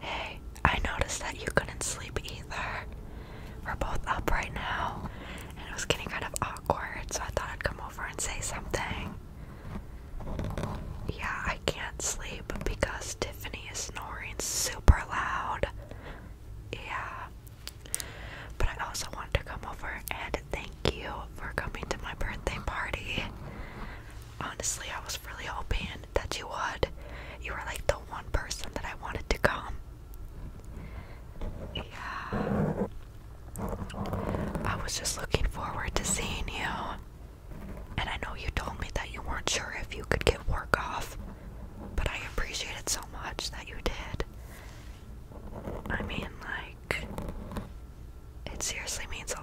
Hey, I noticed that you couldn't sleep either. We're both up right now, and it was getting kind of awkward, so I thought I'd come over and say something. Yeah, I can't sleep because Tiffany is snoring super loud. Yeah. But I also wanted to come over and thank you for coming to my birthday party honestly, I was really hoping that you would. You were like the one person that I wanted to come. Yeah. I was just looking forward to seeing you. And I know you told me that you weren't sure if you could get work off, but I appreciate it so much that you did. I mean, like, it seriously means a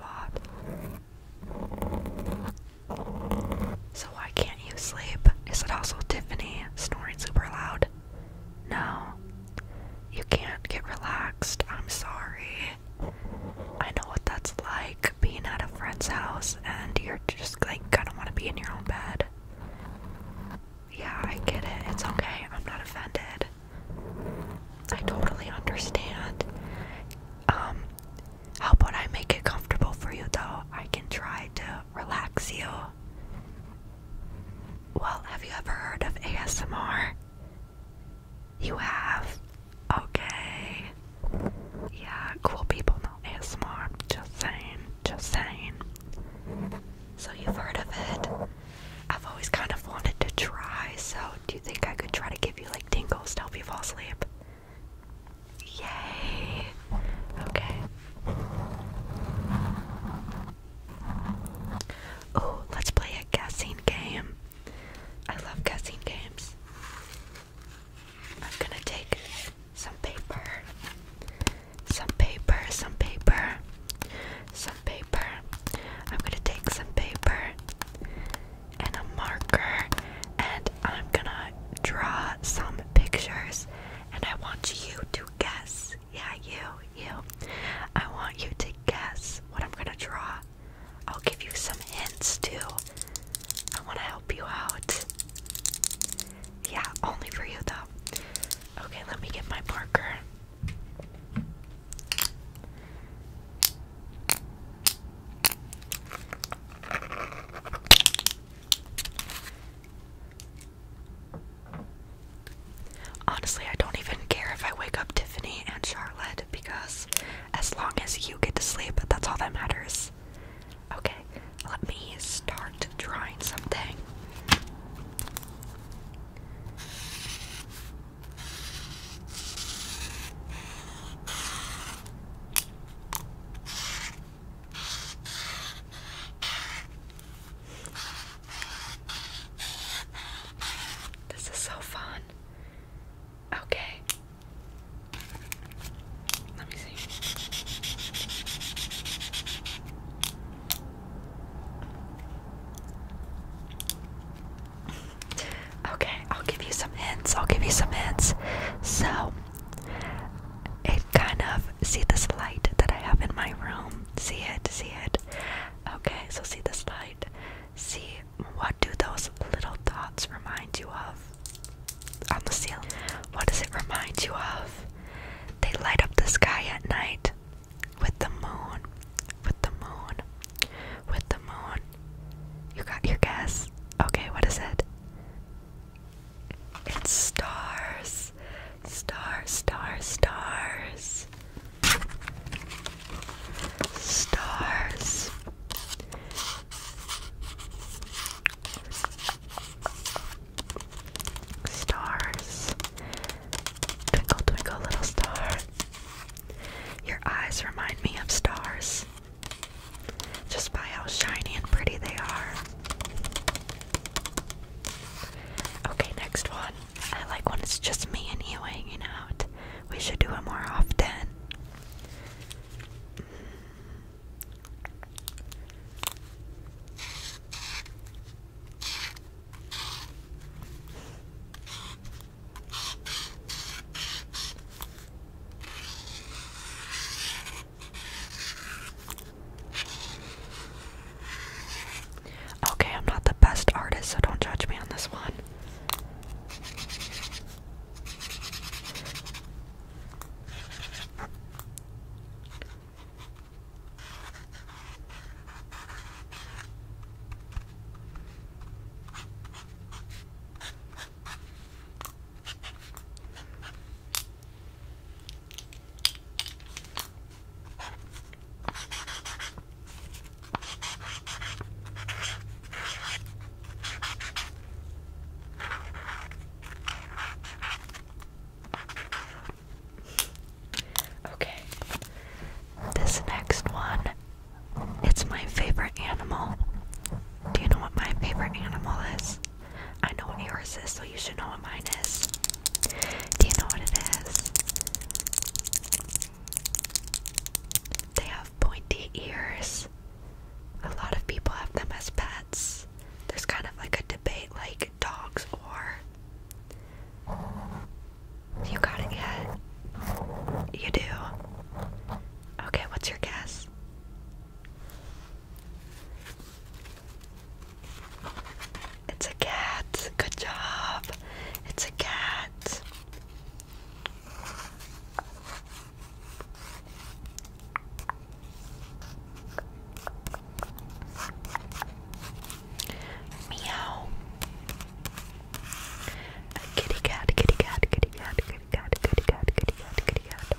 lot. So why can't you sleep? Is it also Tiffany snoring super loud? No. You can't get relaxed. I'm sorry. I know what that's like being at a friend's house and you're just like kind of want to be in your own bed. Yeah, I get it. It's okay. I'm not offended. I totally understand. Um how about I make it comfortable for you though? I can try to relax you. Well, have you ever heard of ASMR? You have? Okay. Yeah, cool people know ASMR. Just saying, just saying. So, you've heard of it? I've always kind of wanted to try, so do you think I could try to give you like tingles to help you fall asleep? Yay! Okay. Oh, let's play a guessing game. I love guessing games. I'm gonna take some paper, some paper, some paper, some paper. I'm gonna take some paper, and a marker, and I'm gonna draw some pictures, and I want you to guess. Yeah, you, you. I want you to guess what I'm gonna draw. I'll give you some hints too. I want to help you out. Yeah, only for you though. Okay, let me get my marker. Honestly, I don't even care if I wake up Tiffany and Charlotte because as long as you get to sleep, that's all that matters. Okay, let me start drawing something. This is so fun. Okay. Let me see. Okay, I'll give you some hints. I'll give you some hints. So, it kind of see this light that I have in my room. See it, see it. Okay, so see this light. See what do those little dots remind you of? On the ceiling. What does it remind you of? They light up the sky at night with the moon with the moon. With the moon. You got your guess. Okay, what is it? It's stars. star, stars, stars. Stars. Stars. Twinkle, twinkle, little star. Your eyes remind me of stars just by how shiny and pretty they are. Okay, next one. I like when it's just me and you hanging out. We should do it more often. Okay, I'm not the best artist, so don't judge me on this one. Okay, this next one it's my favorite animal. Do you know what my favorite animal is? I know what yours is, so you should know what mine is. Do you know what it is? They have pointy ears. A lot of people have them as pets. There's kind of like a debate like dogs or you got it yet? You do. Okay, what's your guess? It's a cat. Good job. It's a cat. Meow. A kitty cat, kitty cat, kitty cat, kitty cat, kitty cat, kitty cat, kitty cat.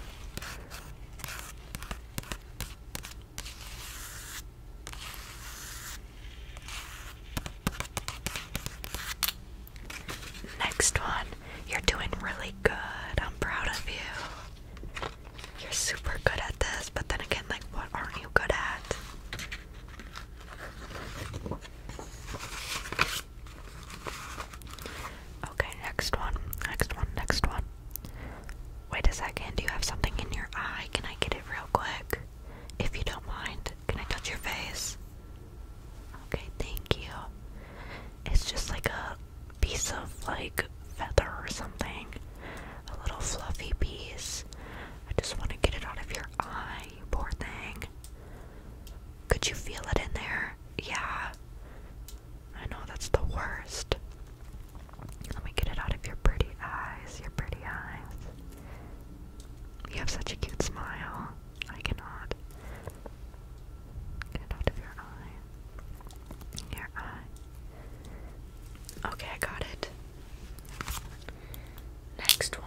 Next one. You're doing really good. I'm proud of you. You're super good at this, but then again, like, what aren't you good at? Okay, next one. Next one. Next one. Wait a second. Do you have something in your eye? Can I get it real quick? If you don't mind, can I touch your face? Okay, thank you. It's just like a piece of like feather or something. A little fluffy piece. I just want to get it out of your eye poor thing. Could you feel it in there? Yeah. I know that's the worst. Let me get it out of your pretty eyes, your pretty eyes. You have such a cute smile. I cannot. Get it out of your eye. Your eye. Okay, I got it. Next one.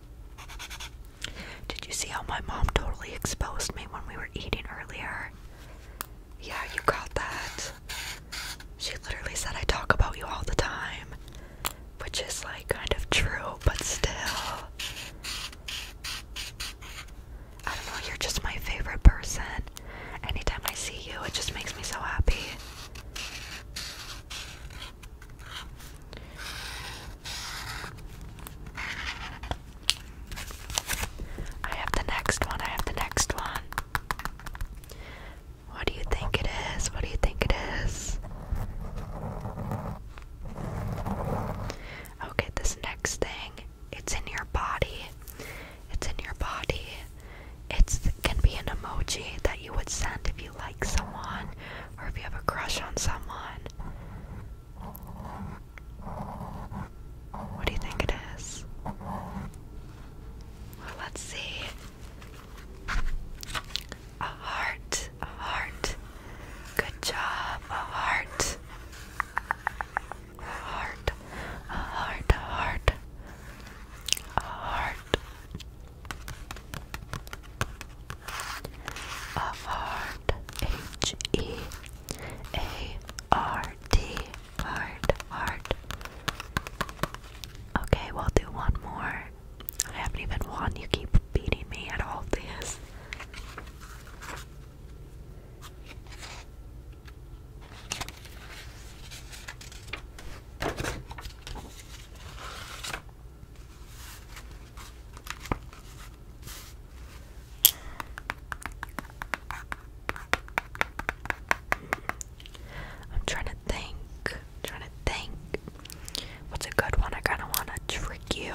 Did you see how my mom totally exposed me when we were eating earlier? Yeah, you got that. She literally said I talk about you all the time, which is like kind of true, but still. I don't know, you're just my favorite person. Anytime I see you, it just makes me so happy. I have the next one. I have the next one. What do you think it is? What do you think it is? Okay, this next thing, it's in your body. It's in your body. It can be an emoji that you would send if you like someone or if you have a crush on someone. What do you think it is? let's see. A heart, a heart. Good job, a heart. A heart, a heart, a heart. A heart. Avard, H E A R D, Vard, Okay, we'll do one more. I haven't even won. You keep beating me at all this. I'm trying to think. trying to think. What's a good one? I kind of want to trick you.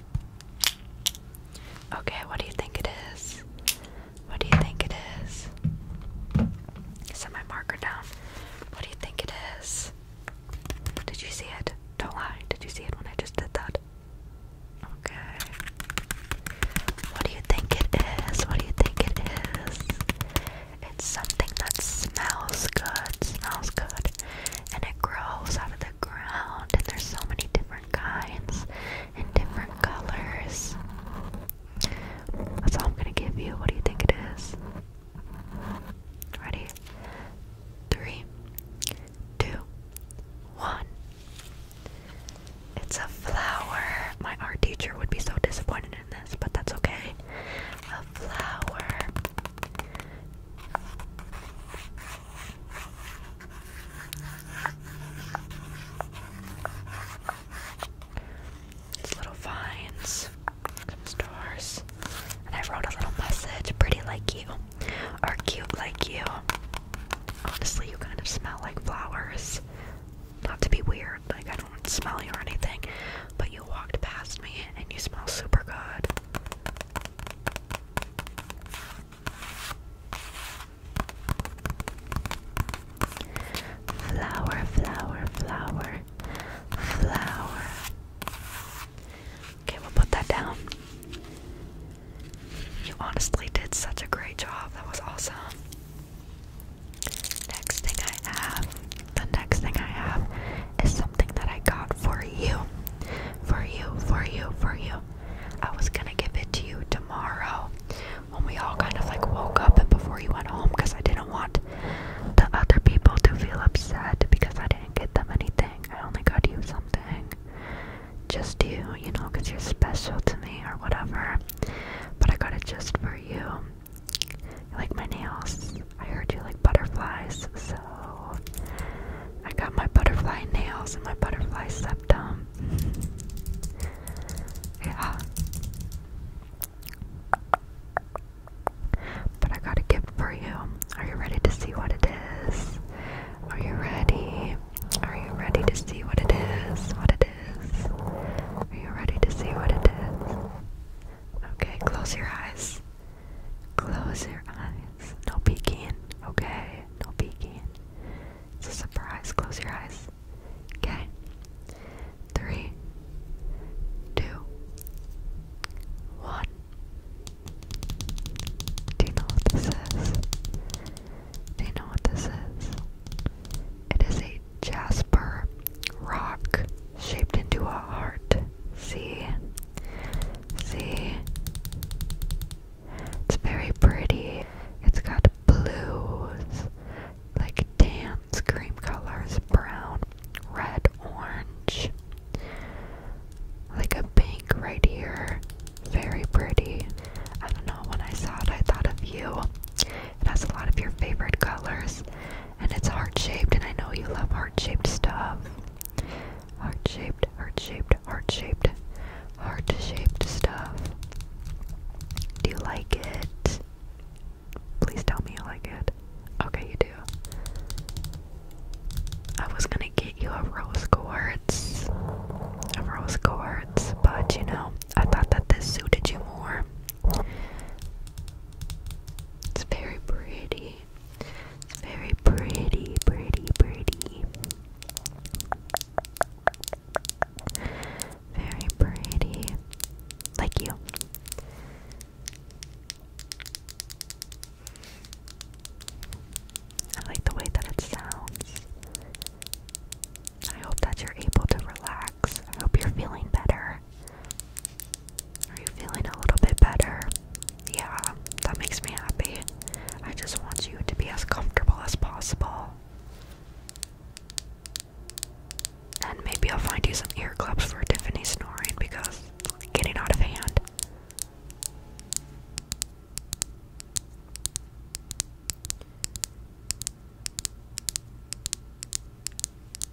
Okay, what do you think it is? What do you think it is? Set my marker down. What do you think it is? Did you see it? Don't lie. Did you see it when I just did that? Okay. What do you think it is? What do you think it is? It's something that smells good. Smells good and it grows out of the ground, and there's so many different kinds and different colors. That's all I'm gonna give you. What do you think it is? Ready? Three, two, one. It's a flower. My art teacher would be so disappointed in this, but that's okay. A flower little vines, stars, and I wrote a little message, pretty like you, are cute like you. Honestly, you kind of smell like flowers. Not to be weird, like I don't smell you or anything, but you walked past me and you smell super good. Flower, flower, flower, flower. Okay, we'll put that down. You honestly did such a great job. That was awesome. Next thing I have, the next thing I have is something that I got for you. For you, for you, for you. I was gonna give it to you tomorrow when we all kind of like woke up and before you went home because I didn't want the other people to feel upset because I didn't get them anything. I only got you something. Just you, you know, because you're special to me or whatever. But I got it just for you. You like my nails? I heard you like butterflies, so I got my butterfly nails and my butterfly septum. yeah. But I got a gift for you. Are you ready to see what it is? Are you ready? Are you ready to see what it is? What it is? Are you ready to see what it is? Okay, close your eyes. Close your eyes. No peeking, okay? No peeking. It's a surprise. Close your eyes. Okay. Three, two, one. Do you know what this is? Do you know what this is? It is a jasper rock shaped into a heart. See? See? It's very pretty. It's got blues, like tan, cream colors, brown, red, orange, like a pink right here. Very pretty. I don't know, when I saw it, I thought of you. It has a lot of your favorite colors, and it's heart shaped, and I know you love heart shaped stuff. Heart shaped, heart shaped, heart shaped, heart shaped stuff. Do you like it? Please tell me you like it. Okay, you do. I was gonna get you a rose quartz. A rose quartz, but you know, I thought that this suited you more. It's very pretty. It's very pretty, pretty, pretty. Very pretty. Like you. I like the way that it sounds. I hope that you're able to relax. I hope you're feeling better. Are you feeling a little bit better? Yeah, that makes me happy. I just want you to be as comfortable as possible. And maybe I'll find you some ear clubs for Tiffany snoring because it's getting out of hand.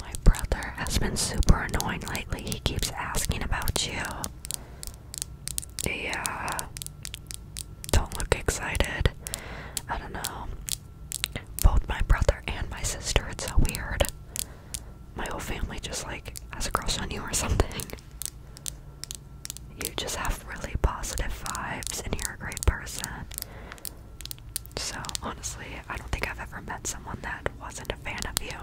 My brother has been super annoying lately. He keeps asking about you. Yeah. Don't look excited. I don't know. Both my brother and my sister, it's so weird. My whole family just like has a crush on you or something. You just have really positive vibes and you're a great person. So, honestly, I don't think I've ever met someone that wasn't a fan of you.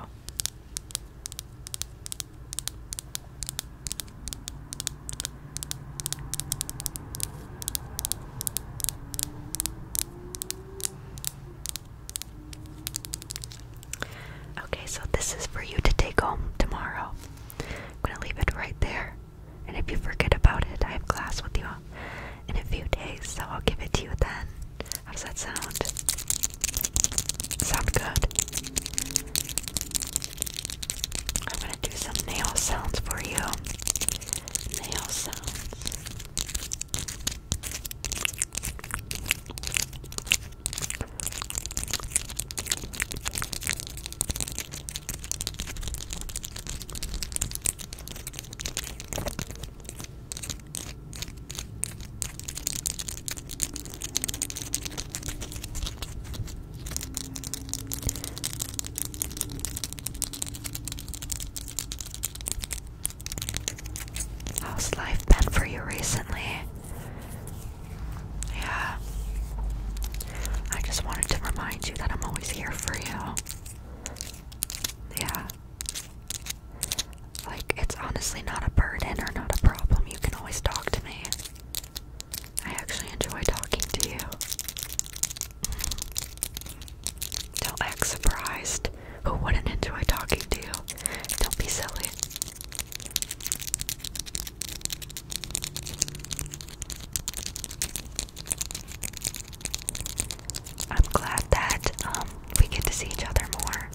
Okay, so this is for you to take home tomorrow. I'm going to leave it right there. And if you forget about it, I have class with you in a few days, so I'll give it to you then. How does that sound? Sound good? I'm gonna do some nail sounds for you. Nail How's life been for you recently? Yeah. I just wanted to remind you that I'm always here for you. Yeah. Like, it's honestly not a burden or not a problem. You can always talk to me. I actually enjoy talking to you. Don't act surprised. Who wouldn't enjoy talking to you? Don't be silly. I'm glad that um, we get to see each other more.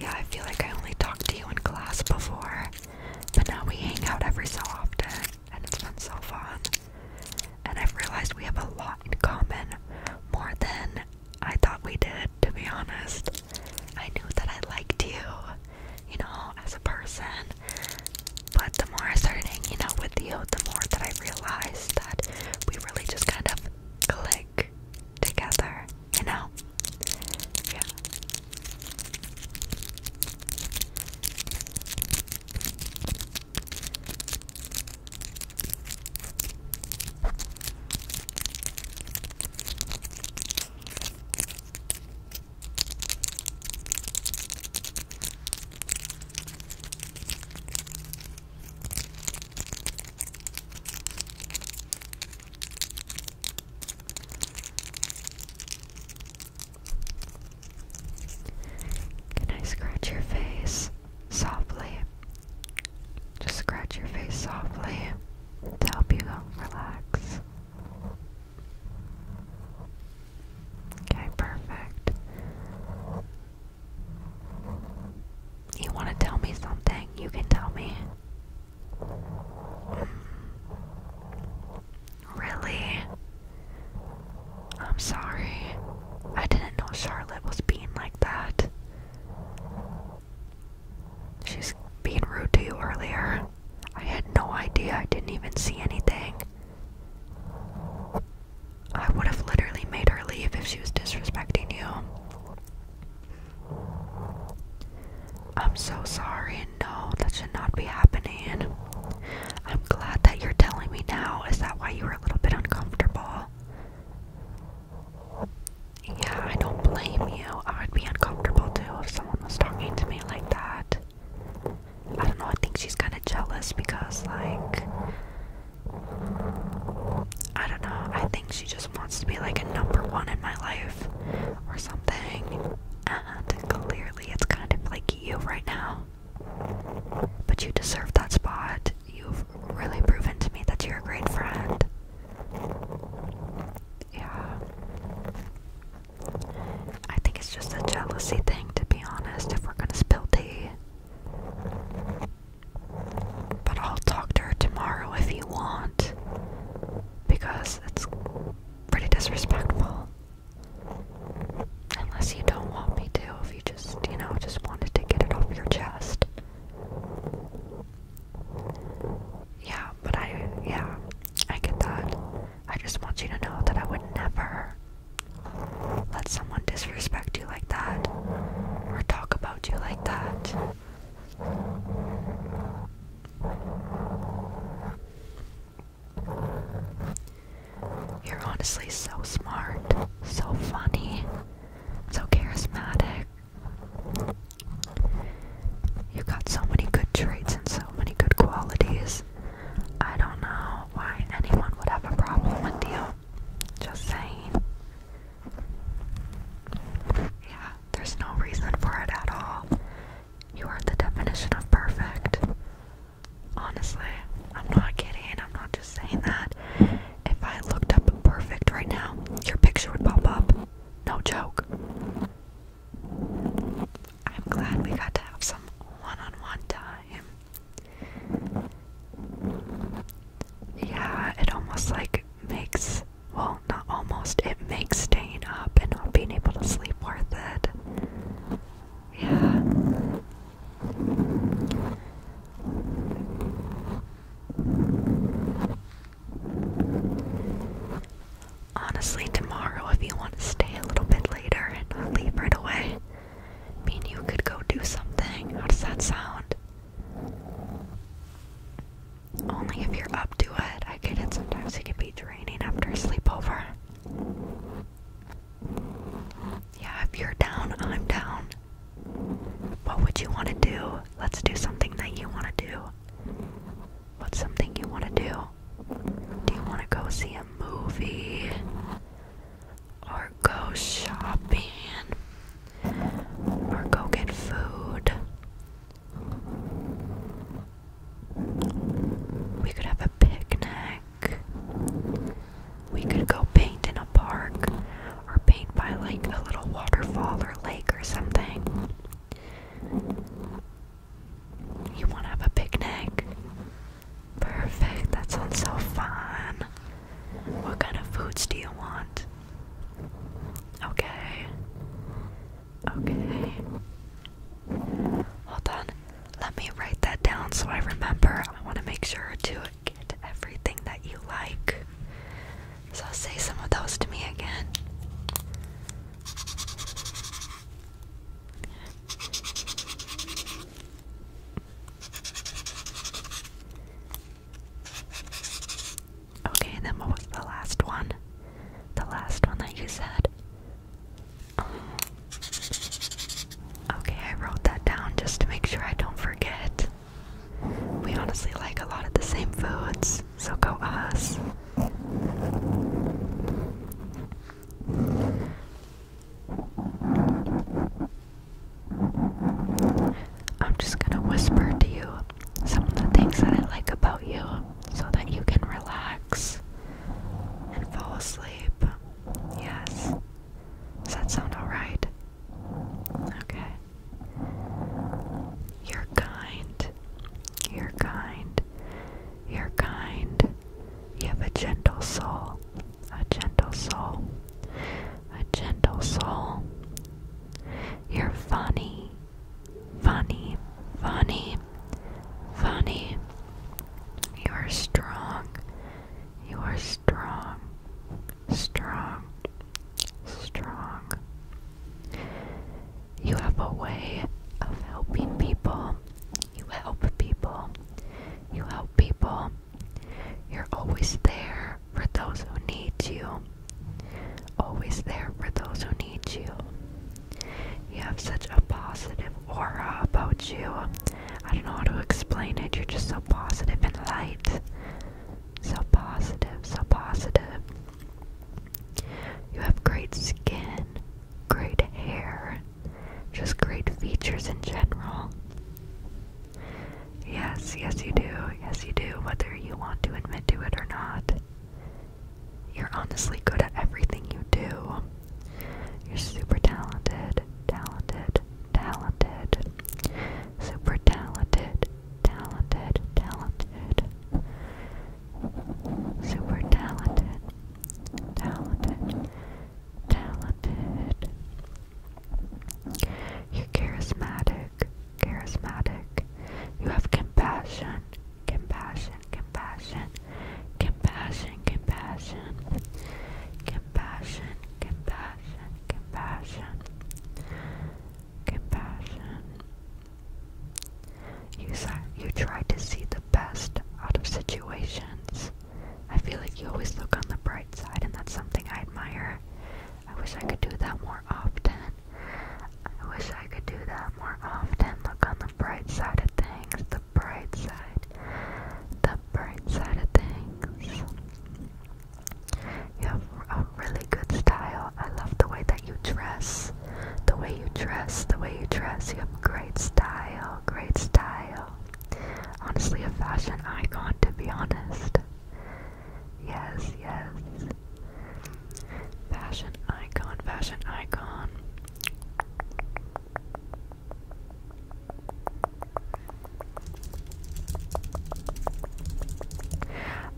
Yeah, I feel like I only talked to you in class before, but now we hang out every so often, and it's been so fun. And I've realized we have a lot in common, more than I thought we did, to be honest. I knew that I liked you, you know, as a person. But the more I started hanging out with you, the more that I realized that we really just kind of click together, you know? Yeah. Can I scratch your face softly? Just scratch your face softly to help you relax. Okay, perfect. You want to tell me something? You can tell me. Hmm. Really? I'm sorry. I didn't know Charlotte was being like that. She's being rude to you earlier. I had no idea, I didn't even see anything. I would have literally made her leave if she was disrespecting you. I'm so sorry, and no, that should not be happening. I'm glad that you're telling me now. Is that why you were a little bit uncomfortable? Yeah, I don't blame you. I would be uncomfortable too if someone was talking to me like that. I don't know, I think she's kind of jealous because, like, I don't know, I think she just wants to be like a number one in my life or something. And clearly, it's kind of like you right now. But you deserve that spot. You've really proven to me that you're a great friend. Yeah. I think it's just a jealousy thing, to be honest, if we're gonna spill tea. But I'll talk to her tomorrow if you want, because it's pretty disrespectful. Unless you don't want me to, if you just, you know, just wanted to get it off your chest. Yeah, but I, yeah, I get that. I just want you to know that I would never let someone disrespect you like that or talk about you like that. You're honestly so smart, so funny, so charismatic. You got so many good traits and so many good qualities. I don't know why anyone would have a problem with you. Just saying. Yeah, there's no reason for it at all. You are the definition of perfect. Honestly, I'm not kidding. I'm not just saying that. If I looked up perfect right now, your picture would pop up. No joke. I'm glad we got to have some one on one time. Yeah, it almost like makes, well, not almost, it makes staying up and not being able to sleep worth it. Yeah. Honestly, tomorrow, if you want to stay a little bit later and not leave right away, I mean, you could go do something. How does that sound? Only if you're up to it. I get it, sometimes it can be draining after a sleepover. Yeah, if you're down, I'm down. What would you want to do? Let's do something that you want to do. What's something you want to do? Do you want to go see a movie? Or go shopping? Or go get food? We could have a picnic. We could go paint in a park or paint by like a little waterfall or lake or something. You want to have a picnic? Perfect, that sounds so fun. What kind of foods do you want? Okay. Okay. Hold on. Let me write that down so I remember. I want to make sure to get everything that you like. So say some of those to me again. Okay, then what was the last one? The last one that you said? okay, I wrote that down just to make sure I don't forget. We honestly like a lot of the same foods us, so go us. I'm just gonna whisper to you some of the things that I like about you so that you can relax and fall asleep. Yes. Does that sound alright? Okay. You're kind. You're kind. You're kind. You have a gentle soul. A gentle soul. A gentle soul. You're funny. Funny. Funny. Funny. You are strong. You are strong. Strong. Strong. You have a way of helping people. You help people. You help people. You're always there for those who need you. Always there for those who need you. You have such a positive aura about you. I don't know how to explain it. You're just so positive and light. So positive, so positive. You have great skin, great hair, just great features in general. Yes, yes, you do. Yes, you do, whether you want to admit to it or not. You're honestly good at everything you do. You're super talented, talented, talented, super talented, talented, talented. Super talented, talented, talented. You're charismatic, charismatic. You have compassion, compassion, compassion, compassion, compassion, compassion, compassion, compassion, compassion. You, try to see the best out of situations. I feel like you always look on the bright side, and that's something I admire. I wish I could do that more often. I wish I could do that more often. Look on the bright side of things. The bright side. The bright side of things. You have a really good style. I love the way that you dress. The way you dress, the way you dress, you have great style, great style. Honestly, a fashion icon, to be honest. Yes, yes. Fashion icon, fashion icon.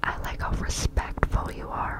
I like how respectful you are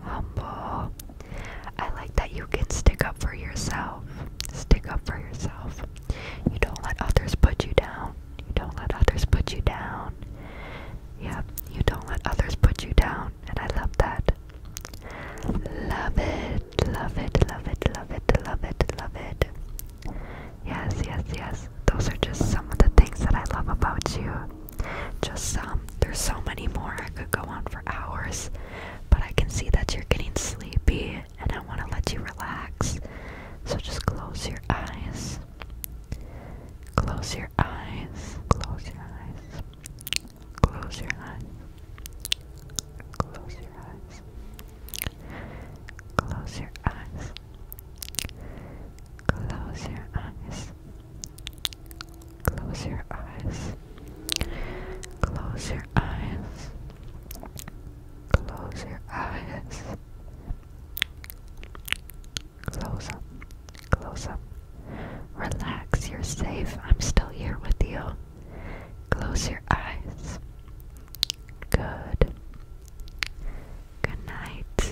humble. I like that you can stick up for yourself. Stick up for yourself. You don't let others put you down. You don't let others put you down. Yep, you don't let others put you down. And I love that. Love it, love it, love it, love it, love it, love it. Yes, yes, yes. Those are just some of the things that I love about you. Just some. Um, there's so many more. I could go on for hours, but I can see that you're getting sleepy and I want to let you relax. So just close your eyes. Close your eyes. Close your eyes. Close your eyes. Close your eyes. Close your eyes. Close your eyes. Close your eyes. Close your eyes. Close your eyes. Close up. Close up. Relax. You're safe. I'm still here with you. Close your eyes. Good. Good night.